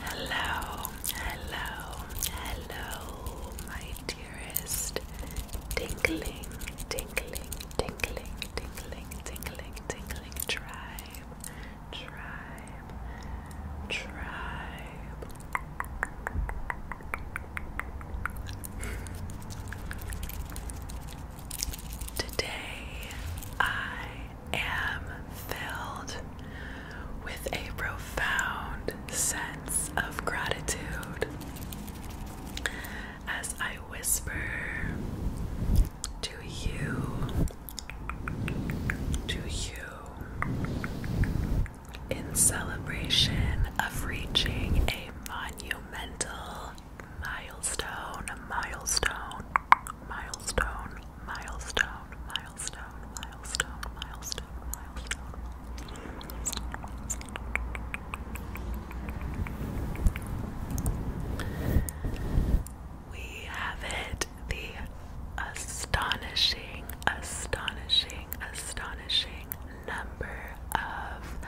Hello, hello, hello, my dearest tingling, tingling, tingling, tingling, tingling, tingling tribe tribe, tribe. Today I am filled with a profound sense of gratitude as I whisper to you to you in celebration of reaching a monumental milestone, milestone, milestone, milestone, milestone, milestone, milestone, milestone. We have it the astonishing, astonishing, astonishing number of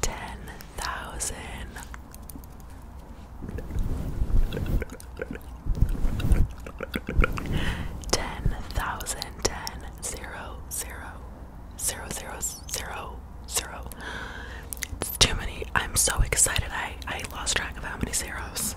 10,000. Ten thousand ten zero zero zero zero zero zero. It's too many. I'm so excited. I I lost track of how many zeros.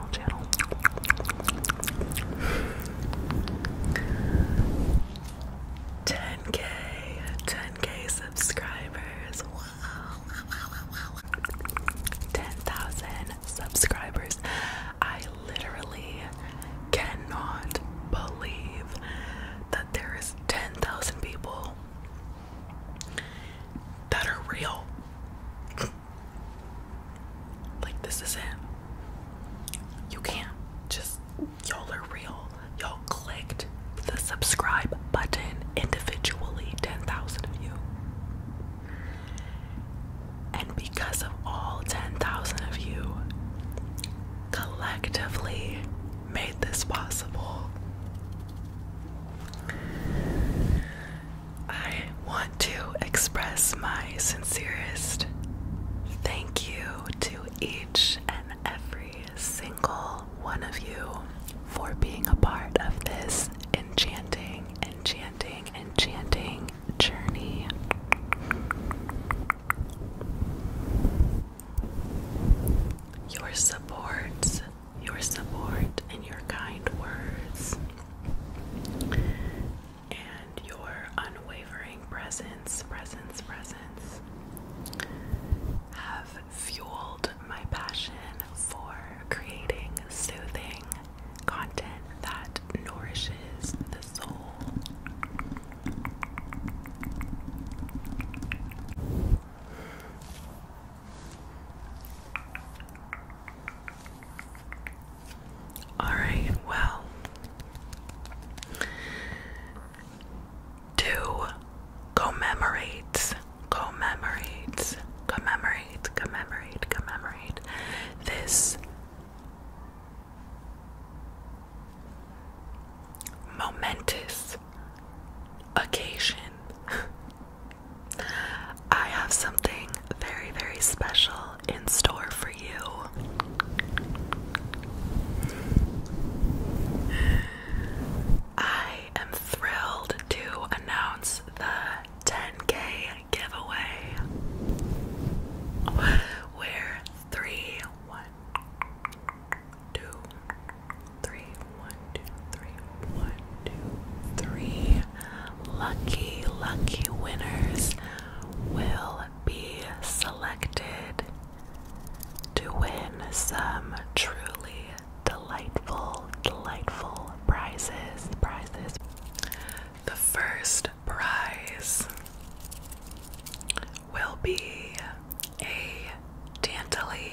channel, channel. Ten K, ten K subscribers. Wow, wow, wow, wow, wow. Ten thousand subscribers. I literally cannot believe that there is ten thousand people that are real. Like, this is it. You can't just, y'all are real. Y'all clicked the subscribe button individually, 10,000 of you. And because of all 10,000 of you collectively made this possible, I want to express my sincerest thank you to each and every single one of you for being a part of this enchanting, enchanting, enchanting journey. Your support, your support, and your kind words and your unwavering presence, presence, presence have fueled my passion for creating soothing content that nourishes the soul. Alright, well. To commemorate, commemorate, commemorate, commemorate, this momentous occasion. I have something very, very special in store for you. I am thrilled to announce the 10k giveaway where three, one, two, three, one, two, three, one, two, three lucky, lucky winners will be selected to win some truly delightful, delightful prizes. Prizes. The first prize will be a Dantley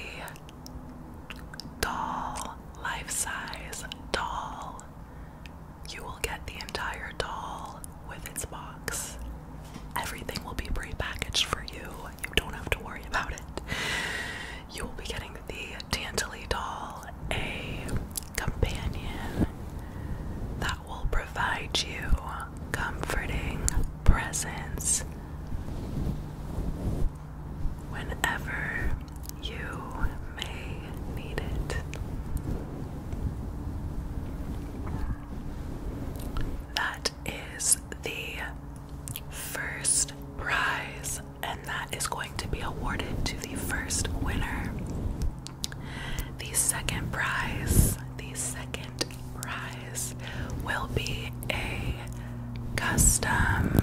doll, life size doll you will get the entire doll with its box. Everything will be pre-packaged for you. You don't have to worry about it. You will be getting the Tantaley doll, a companion that will provide you comforting presence whenever you may that is the first prize, and that is going to be awarded to the first winner. The second prize, the second prize will be a custom,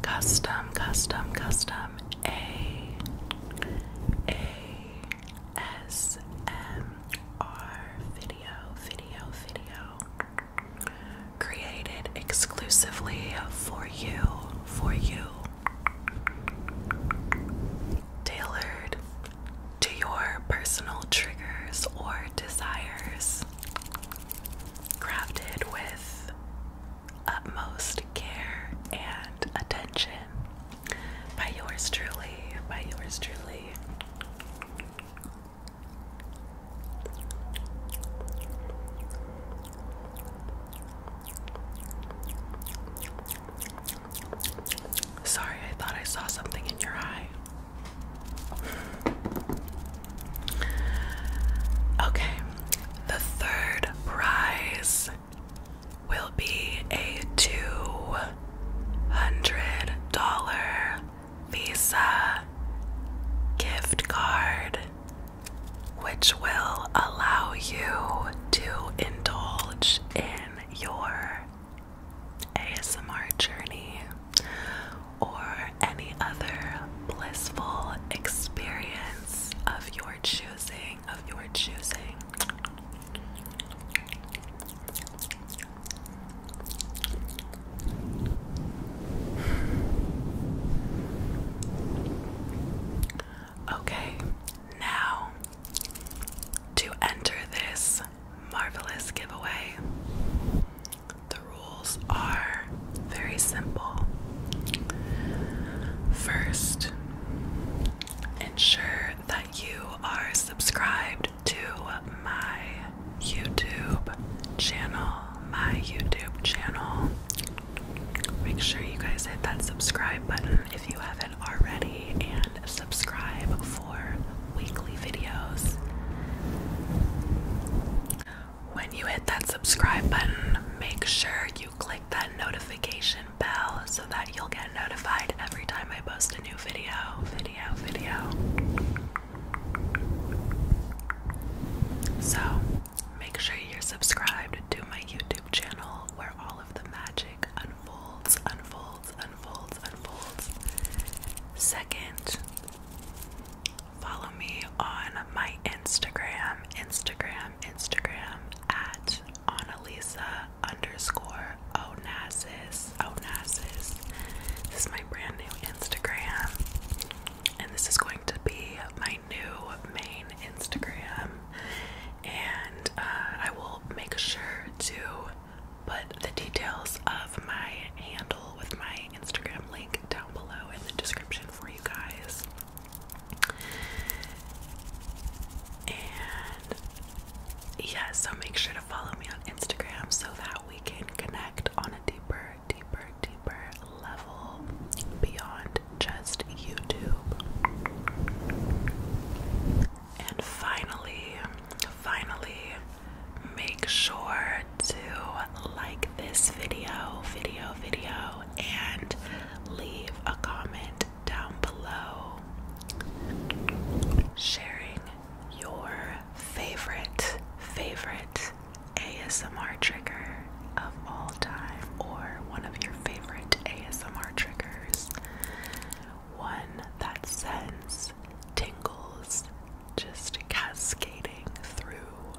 custom, custom, custom um A A S M R video video video created exclusively for you for you tailored to your personal triggers or desires crafted with utmost care and attention by yours truly, by yours truly. Sorry, I thought I saw something in your eye. Okay, the third prize will be a $200 Visa gift card, which will allow you to indulge in your ASMR journey or any other blissful experience of your choosing of your choosing. Okay, now to enter this marvelous giveaway, the rules are very simple. First, ensure that you are subscribed to my YouTube channel. My YouTube channel. Make sure you guys hit that subscribe button if you haven't already and subscribe for weekly videos. When you hit that subscribe button, make sure you click that notification bell so that you'll get notified every time I post a new video, video, video. So, make sure you're subscribed to my YouTube channel where all of the magic unfolds, unfolds, unfolds, unfolds. Second, follow me on my Instagram. Instagram Instagram at Annalisa underscore Onassis. Onassis. This is my brand new Instagram. And this is going to be my new main Instagram. And uh, I will make sure to put the details of my handle with my Instagram link down below in the description for you guys. And yeah, so make sure to follow me on Instagram so that we can connect on a deeper, deeper, deeper level beyond just YouTube. And finally, finally, make sure to like this video, video, video, and leave a comment down below sharing your favorite, favorite ASMR trigger of all time or one of your favorite ASMR triggers. One that sends tingles just cascading through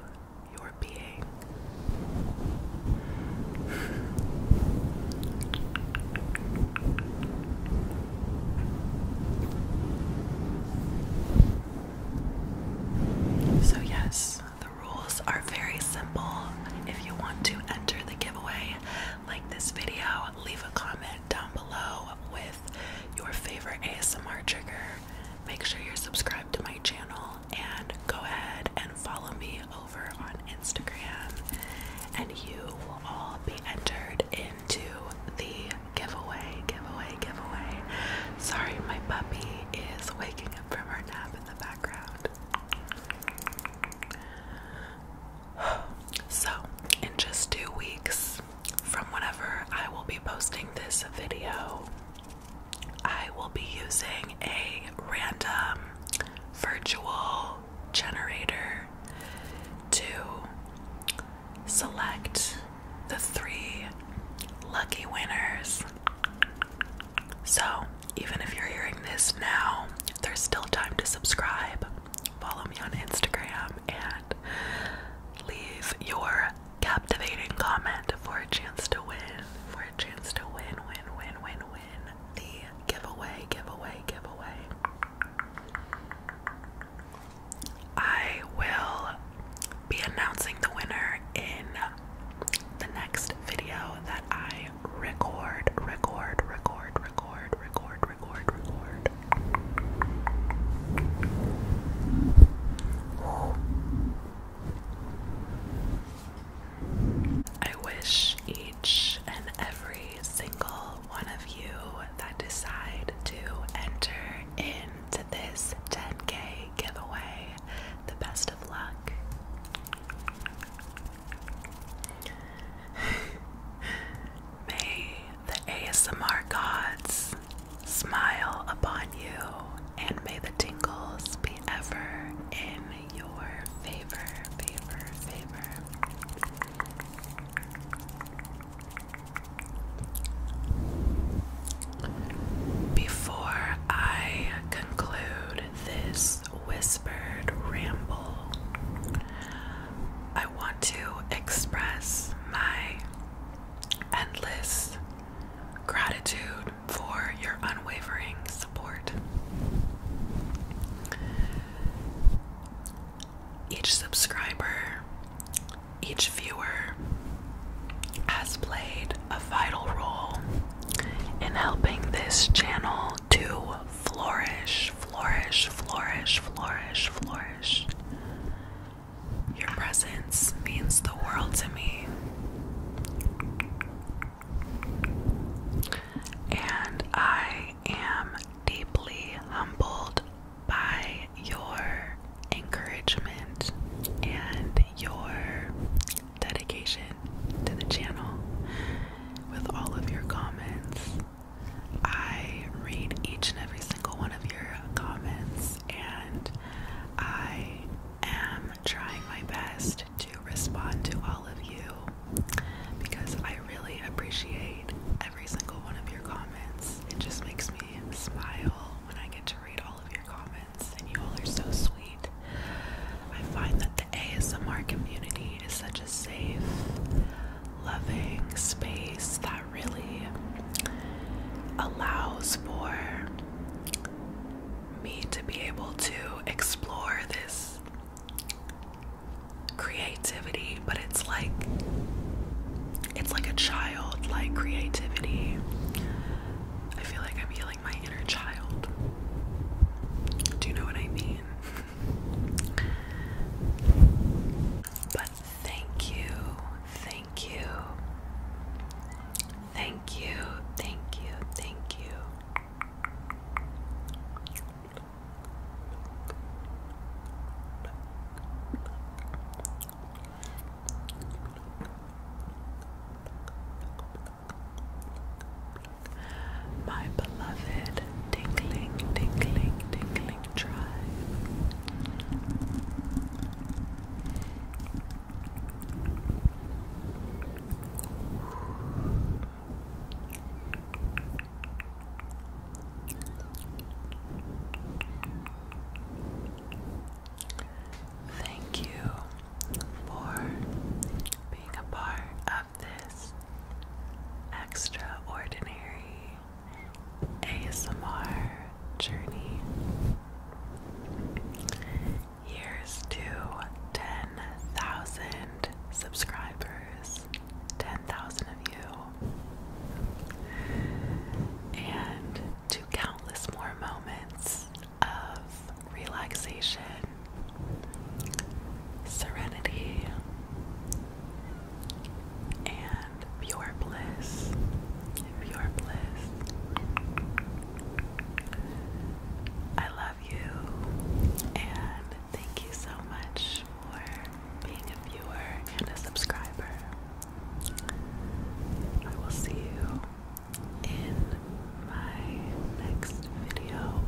your being. So, yes, the rules are very simple. If you want to enter the giveaway, like this video, leave a comment down below with your favorite ASMR trigger. Make sure you're subscribed to my channel and go ahead and follow me over on Instagram, and you will all be entered into the giveaway. Giveaway, giveaway. Sorry, my puppy is waking up from her nap in the background. So, in just two weeks from whenever I will be posting this video, I will be using a random virtual generator to select the three lucky winners. So, even if you're hearing this now, there's still time to subscribe, follow me on Instagram, and leave your captivating comment for a chance to win. For a chance to win, win, win, win, win the giveaway, giveaway, giveaway. I will be announcing the winner in the next video that I record, record, record, record, record, record, record. I wish each and every single one of you that decide to enter into this 10k giveaway the best of luck. May the ASMR gods smile upon you and may the tingles be ever in your favor, favor, favor. Before I conclude this whispered ramble, I want to express my endless gratitude for your unwavering support. Each subscriber, each viewer has played a vital role in helping this channel to flourish, flourish, flourish, flourish, flourish. Your presence means the world to me. And I am deeply humbled by your encouragement and your dedication to the channel with all of your comments. I read each and every single one of your comments and I am trying my best to respond to all of you because I really appreciate every single one of your comments. It just makes me smile when I get to read all of your comments, and you all are so sweet. I find that the ASMR community is such a safe, loving space that really allows for me to be able to explore this creativity, but it's like it's like a child like creativity. I feel like I'm healing my inner child. Do you know what I mean? but thank you, thank you, thank you, thank you, thank you my beloved tingling, tingling, tingling tribe. Thank you for being a part of this extraordinary ASMR journey. Here's to 10,000 subscribers, 10,000 of you, and to countless more moments of relaxation, serenity, and pure bliss. Pure bliss. I love you, and thank you so much for being a viewer and a subscriber. I will see you in my next video.